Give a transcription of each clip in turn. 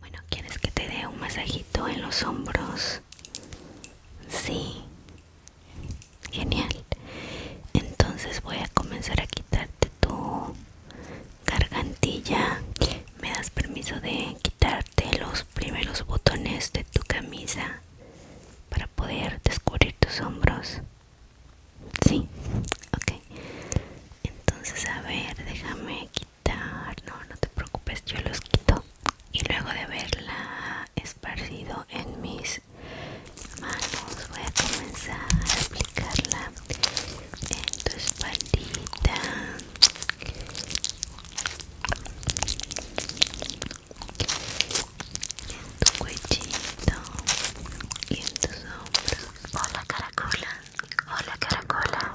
Bueno, ¿quieres que te dé un masajito en los hombros? Sí. Genial. Entonces voy a comenzar a quitarte tu gargantilla. ¿Me das permiso de quitarte los primeros botones de tu camisa para poder descubrir tus hombros? Sí. Ok. Entonces, a ver, déjame quitar no no te preocupes yo los quito y luego de verla esparcido en mis manos voy a comenzar a aplicarla en tu espaldita en tu cuellito y en tus hombros hola caracola hola caracola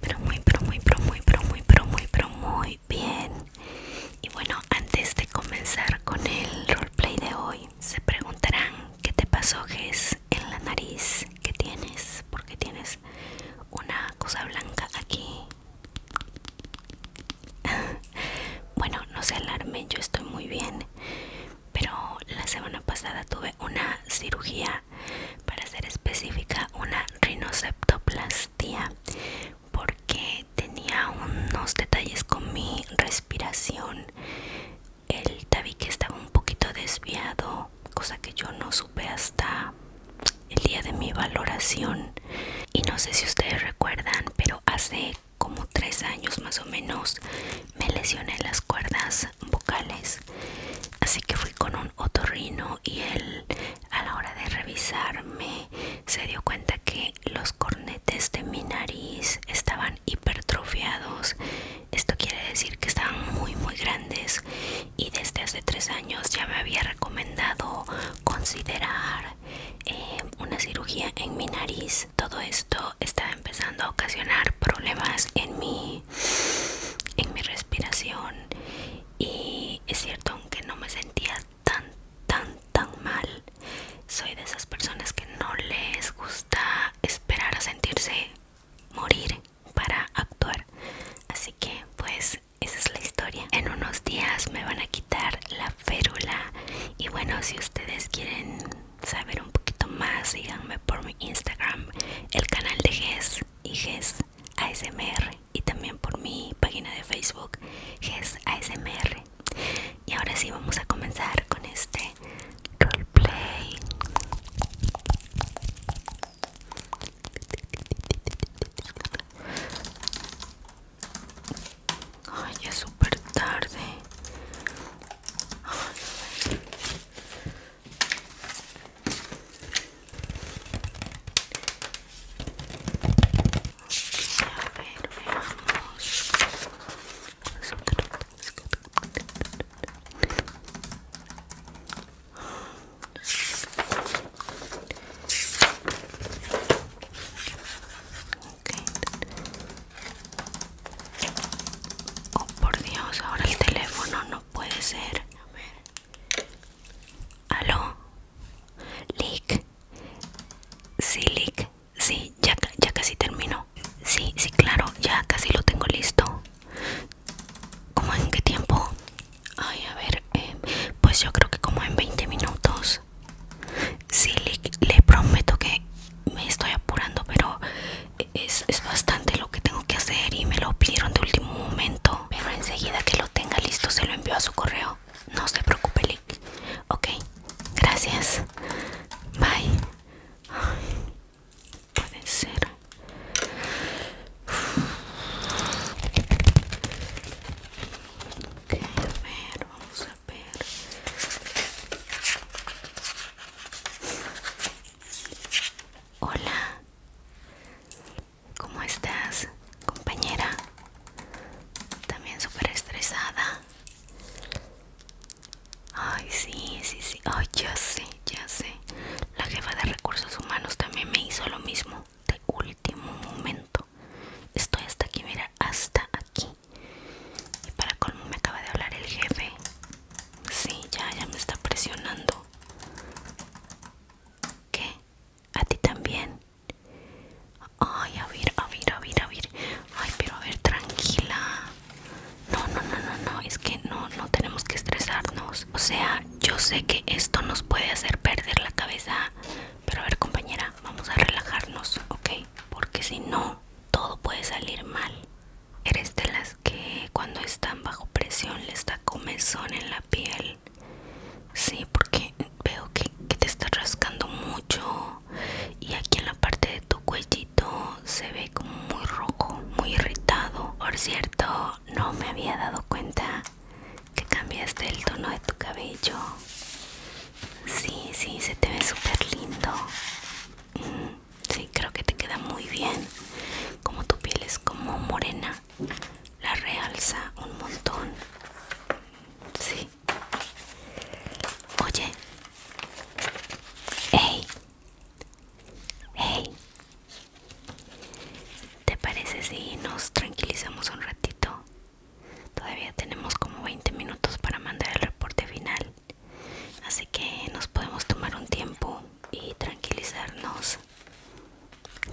pero muy, pero muy, pero muy, pero muy, pero muy, pero muy bien. Y bueno, antes de comenzar con el roleplay de hoy, se preguntarán qué te pasó, es en la nariz, qué tienes, porque tienes una cosa blanca aquí. bueno, no se alarmen, yo estoy muy bien, pero la semana pasada tuve una cirugía para ser específica una rinoceptoplastia porque tenía unos detalles con mi respiración el tabique estaba un poquito desviado cosa que yo no supe hasta el día de mi valoración y no sé si ustedes recuerdan pero hace como tres años más o menos me lesioné las cuerdas vocales así que fui con un otorrino y él a la hora de revisarme se dio cuenta que los cornetes de mi nariz estaban hipertrofiados esto quiere decir que estaban muy muy grandes y desde hace tres años ya me había recomendado considerar eh, una cirugía en mi nariz todo esto estaba empezando a ocasionar problemas en en mi respiración y es cierto aunque no me sentía tan tan tan mal soy de esas personas que no les gusta esperar a sentirse morir para actuar así que pues esa es la historia en unos días me van a quitar la férula y bueno si ustedes quieren saber un poquito más síganme por mi instagram el canal de GES y GES ASMR y también por mi página de Facebook GES ASMR. Y ahora sí vamos a comenzar con este roleplay. Ay, es tarde. A ver, veamos. Okay. Oh por Dios, ahora el teléfono no puede ser. A ver. Aló. Lick. Sí, Lick. Sí, ya, ya casi termino. Sí, sí, claro, ya casi lo tengo listo. ¿Cómo en qué tiempo? Ay, a ver, eh, pues yo creo que como en 20 minutos. Sí, Lick, le prometo que me estoy apurando, pero es, bastante lo que tengo que hacer y me lo pidieron de último momento. Pero enseguida que tenga listo se lo envió a su correo. No se preocupe, Lick. Ok, gracias. Bye. puede ser. a ver, vamos a ver. Hola. ¿Cómo estás, compañera? También súper estresada. Ay, sí, sí, sí. Ay, ya sé, ya sé. La jefa de recursos humanos también me hizo lo mismo. De último momento. Estoy hasta aquí, mira, hasta aquí. Y para colmo me acaba de hablar el jefe. Sí, ya, ya me está presionando. ¿Qué? a ti también. Ay, a ver, a ver, a ver, a ver. Ay, pero a ver, tranquila. No, no, no, no, no, es que no, no tenemos que estresarnos. O sea, yo sé que esto nos puede hacer perder la cabeza. Pero a ver, compañera, vamos a relajarnos, ¿ok? Porque si no, todo puede salir mal. Eres de las que cuando están bajo presión les da comezón en la piel Sí, porque veo que, te está rascando mucho y aquí en la parte de tu cuellito se ve como muy rojo, muy irritado. Por cierto, no me había dado cuenta que cambiaste el tono de tu cabello. Sí, sí, se te ve súper lindo. Mm, sí, creo que te queda muy bien. Como tu piel es como morena, la realza un montón. Sí. Oye. Hey. Hey. ¿Te parece si nos tranquilizamos un ratito? Todavía tenemos como 20 minutos para mandar el reporte final. Así que nos podemos tomar un tiempo y tranquilizarnos.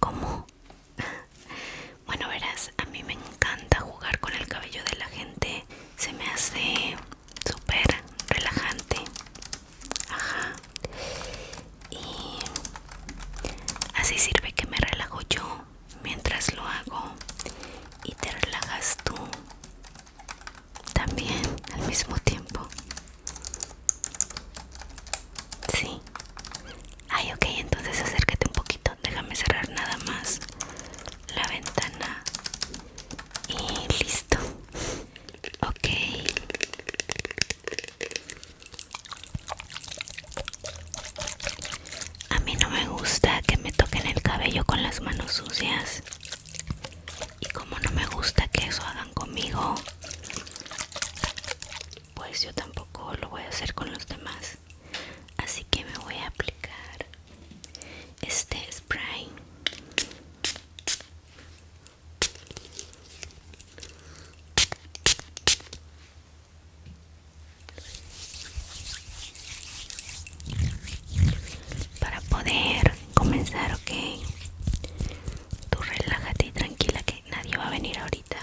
como Bueno, verás, a mí me encanta jugar con el cabello de la gente. Se me hace súper relajante. Ajá. Y así sirve que me relajo yo mientras lo hago. Y te relajas tú también al mismo tiempo. Sí, Ay, ok, entonces acércate un poquito. Déjame cerrar nada más la ventana. Y listo. Ok. A mí no me gusta que me toquen el cabello con las manos sucias. Y como no me gusta que eso hagan conmigo, pues yo tampoco lo voy a hacer con los demás así que me voy a aplicar este spray para poder comenzar, ok. Tú relájate y tranquila, que nadie, va a venir ahorita.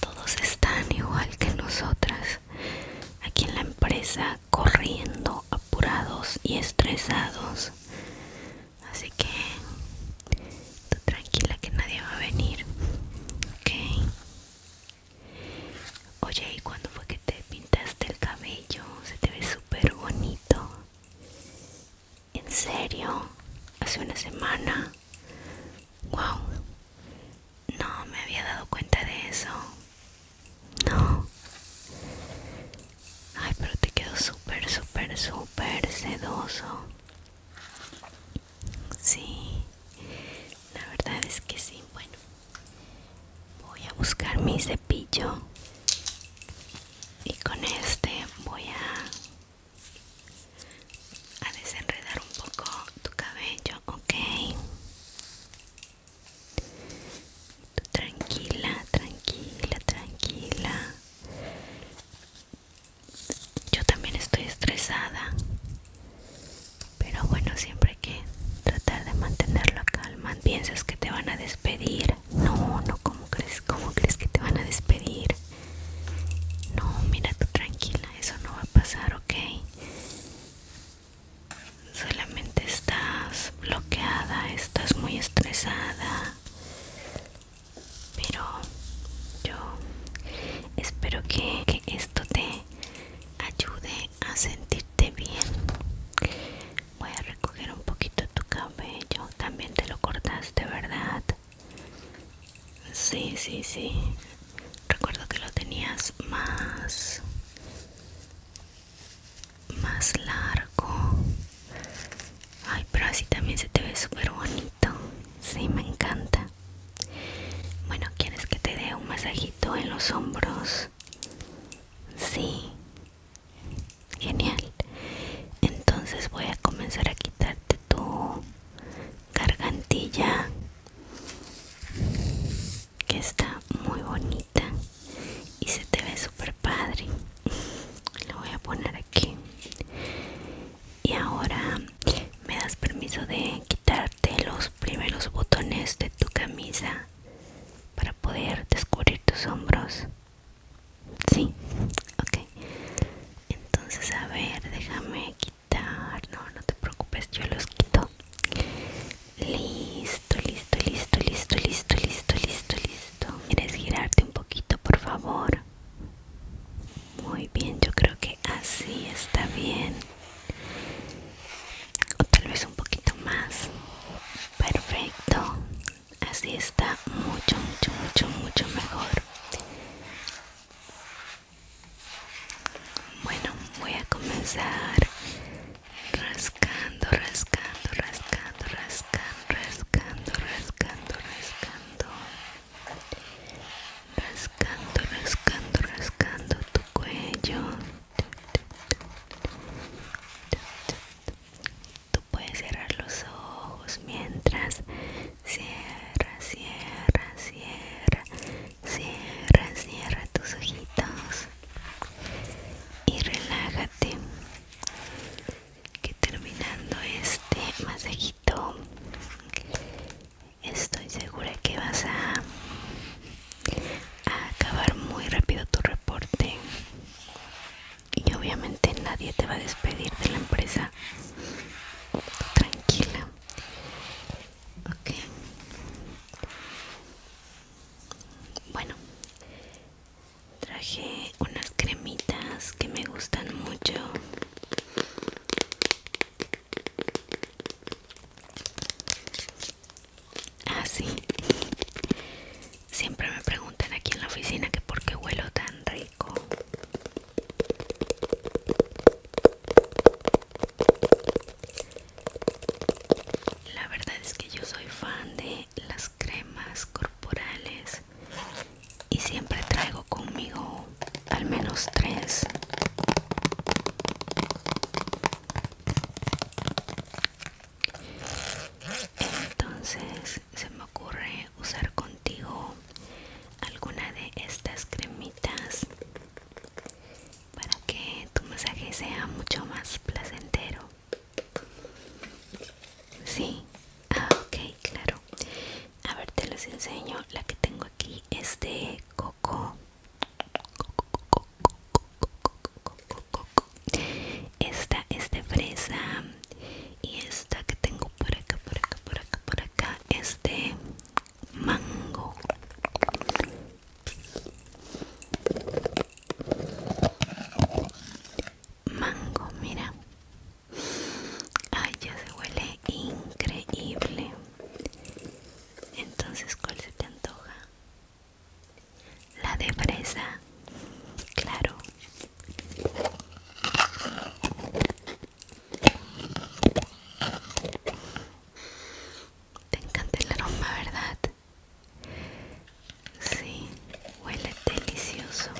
Todos están igual que nosotras, aquí en la empresa, corriendo, apurados y estresados. Así que tú tranquila que nadie va a venir. Ok. Oye, ¿y cuando fue que te pintaste el cabello? Se te ve súper bonito. ¿En serio? ¿Hace una semana? ¡Wow! No me había dado cuenta de eso. No. Ay, pero te quedó súper, súper, súper sedoso. Sí. La verdad es que sí. Bueno. Voy a buscar mi cepillo. Y con este voy a a desenredar un poco tu cabello, ok. tranquila, tranquila, tranquila. Yo también estoy estresada, pero bueno, siempre que tratar de mantenerlo la calma. Piensas que te van a despedir. No, no, como crees? ¿Cómo crees que te van a despedir? No, mira tú tranquila, eso no va a pasar, ¿ok? Solamente estás bloqueada, estás muy estresada. Pero yo espero que, esto te ayude a sentirte bien. Voy a recoger un poquito tu cabello. También te lo cortaste, ¿verdad? Sí, sí, sí. Recuerdo que lo tenías más más largo. Ay, pero así también se te ve súper bonito. Sí, me encanta. Bueno, ¿quieres que te dé un masajito en los hombros? Sí. Genial. Entonces voy a comenzar a quitarte tu gargantilla que está muy bonita y se te ve súper padre lo voy a poner aquí y ahora me das permiso de quitarte los primeros botones de tu camisa para poder descubrir tus hombros sí ok este, entonces a ver déjame quitar no no te preocupes yo los quito listo listo listo listo listo listo listo listo quieres girarte un poquito por favor muy bien yo creo que así está bien o tal vez un poquito más perfecto así está mucho mucho mucho mucho mejor bueno, voy a comenzar rascando, rascando, rascando, rascando, rascando, rascando, rascando, rascando, rascando, rascando tu cuello. Tú puedes cerrar los ojos mientras Cierra, cierra, cierra, cierra, cierra tus ojitos y relájate. Que terminando este masajito, estoy segura que vas a acabar muy rápido tu reporte y obviamente nadie te va a despedir de la empresa tranquila ok bueno traje unas cremitas que me gustan mucho así ah, siempre me preguntan aquí en la oficina que por qué huelo tan rico la verdad es que yo soy fan de las cremas corporales y siempre traigo conmigo al menos tres. Entonces se me ocurre usar contigo alguna de estas cremitas para que tu masaje sea mucho más placentero. Sí, ah, ok, claro. A ver, te los enseño. La que tengo aquí es de coco. Esta es de fresa. Y esta que tengo por acá, por acá, por acá, por acá es de este mango mango mira ay ya se huele increíble entonces cuál se te antoja la de fresa claro te encanta el aroma, ¿verdad? Sí, huele delicioso.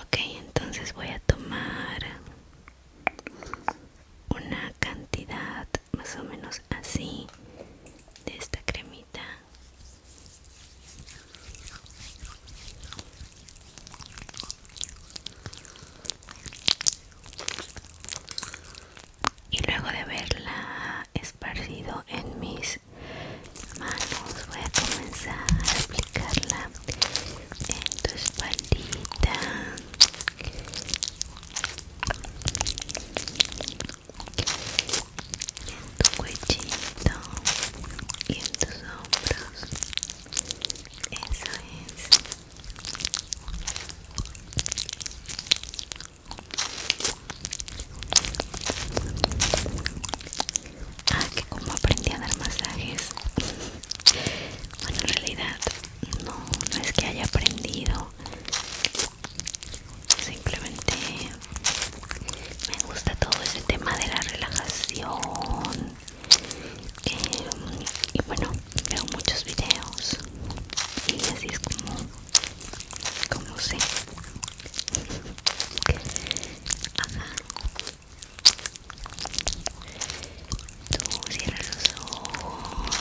Ok, entonces voy a tomar una cantidad más o menos así de esta cremita y luego de verla esparcido en mis manos voy a comenzar a aplicarla en tu espaldita en tu cuellito y en tus hombros eso es ah que como aprendí a dar masajes bueno en realidad no no es que haya aprendido simplemente me gusta todo ese tema de la relajación eh, y bueno veo muchos videos y así es como como sé Ajá. tú cierras los ojos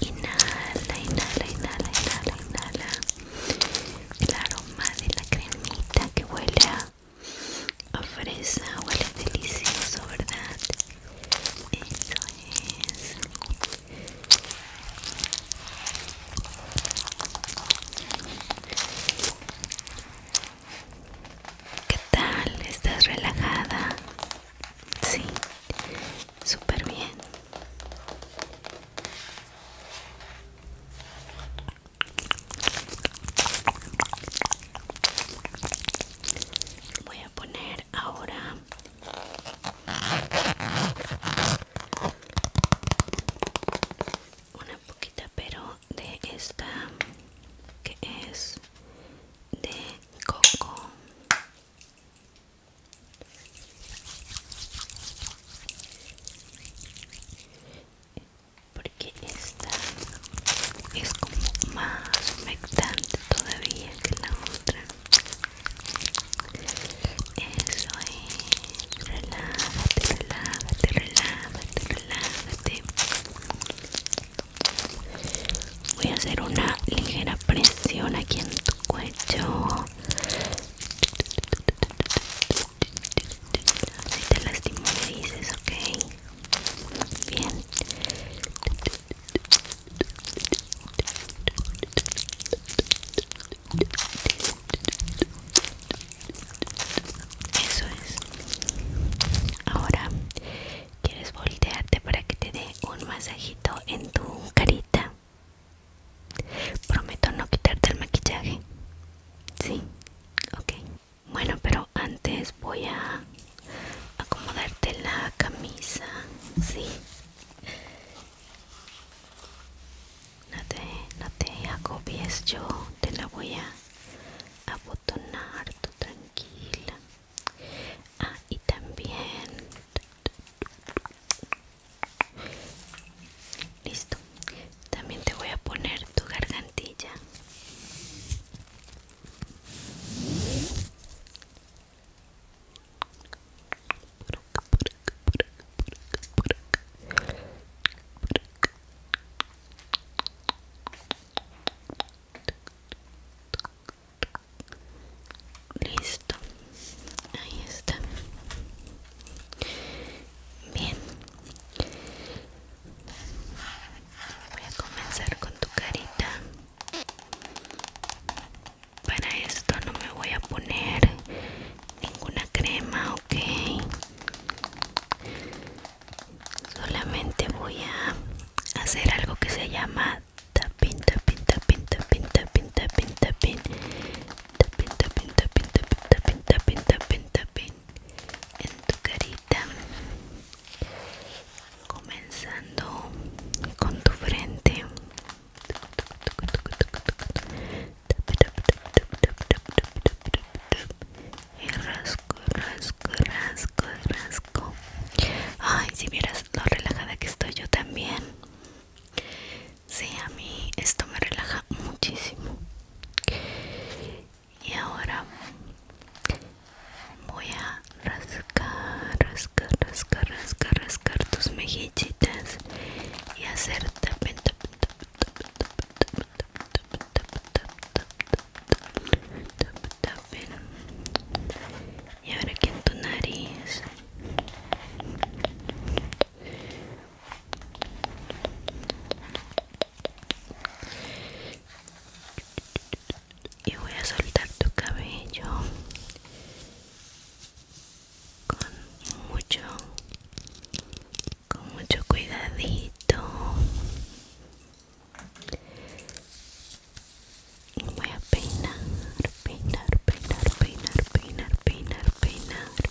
inhala inhala inhala inhala inhala el aroma de la cremita que huele a, fresa huele delicioso verdad eso es ¿Qué tal? ¿Estás relajada? Sí, súper bien. Voy a poner ahora una poquita pero de esta que es de coco porque esta es como más humectante todavía que la otra eso es relájate relájate relájate relájate voy a hacer una ligera presión aquí en tu cuello si te lastimó me dices, ok. Bien. Eso es. Ahora quieres voltearte para que te dé un masajito en tu carita. Prometo no quitarte el maquillaje. Sí, ok. Bueno, pero antes voy a acomodarte la camisa. Sí. No te, no agobies, yo te la voy a abotonar, tú tranquila. Ah, y también Listo. También te voy a poner tu gargantilla. Listo, ahí está bien voy a comenzar con tu carita para esto no me voy a poner ninguna crema ok solamente voy a hacer algo que se llama tapin tapin tapin tapin tapin tapin tapin tapping, tapping, tapping, tapping, tapping, tapping, tapping en tu carita comenzando con tu frente y rasco, rasco, rasco, rasco ay si vieras lo relajada que estoy yo también Sí, a mí esto me relaja muchísimo. Y ahora voy a rascar, rascar, rascar, rascar, rascar tus mejillitas y hacer tapen, tapen, Y ahora aquí en tu nariz y voy a soltar tu cabello con mucho con mucho cuidadito voy a peinar peinar peinar peinar peinar peinar peinar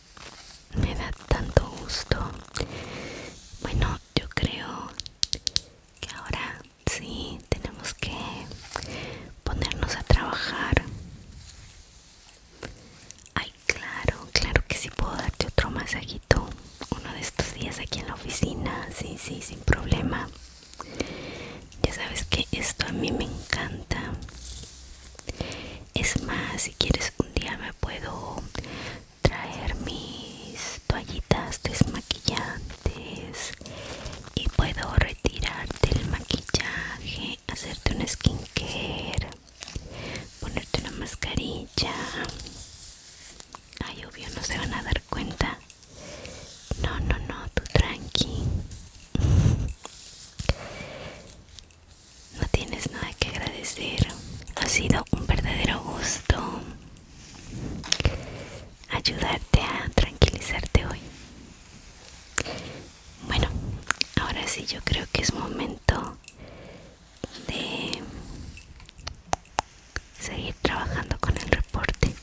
me da tanto gusto bueno yo creo que ahora sí tenemos que ponernos a trabajar ay claro claro que sí puedo darte otro masajito uno de estos días aquí en la oficina sí sí sin problema ya sabes que esto a mí me encanta es más si quieres un día me puedo traer mis toallitas desmaquillantes y puedo retirarte el maquillaje hacerte un skincare ponerte una mascarilla ay obvio no se van a dar cuenta no no no tú tranqui no tienes nada que agradecer. Ha sido un verdadero gusto ayudarte a tranquilizarte hoy. Bueno, ahora sí yo creo que es momento de seguir trabajando con el reporte.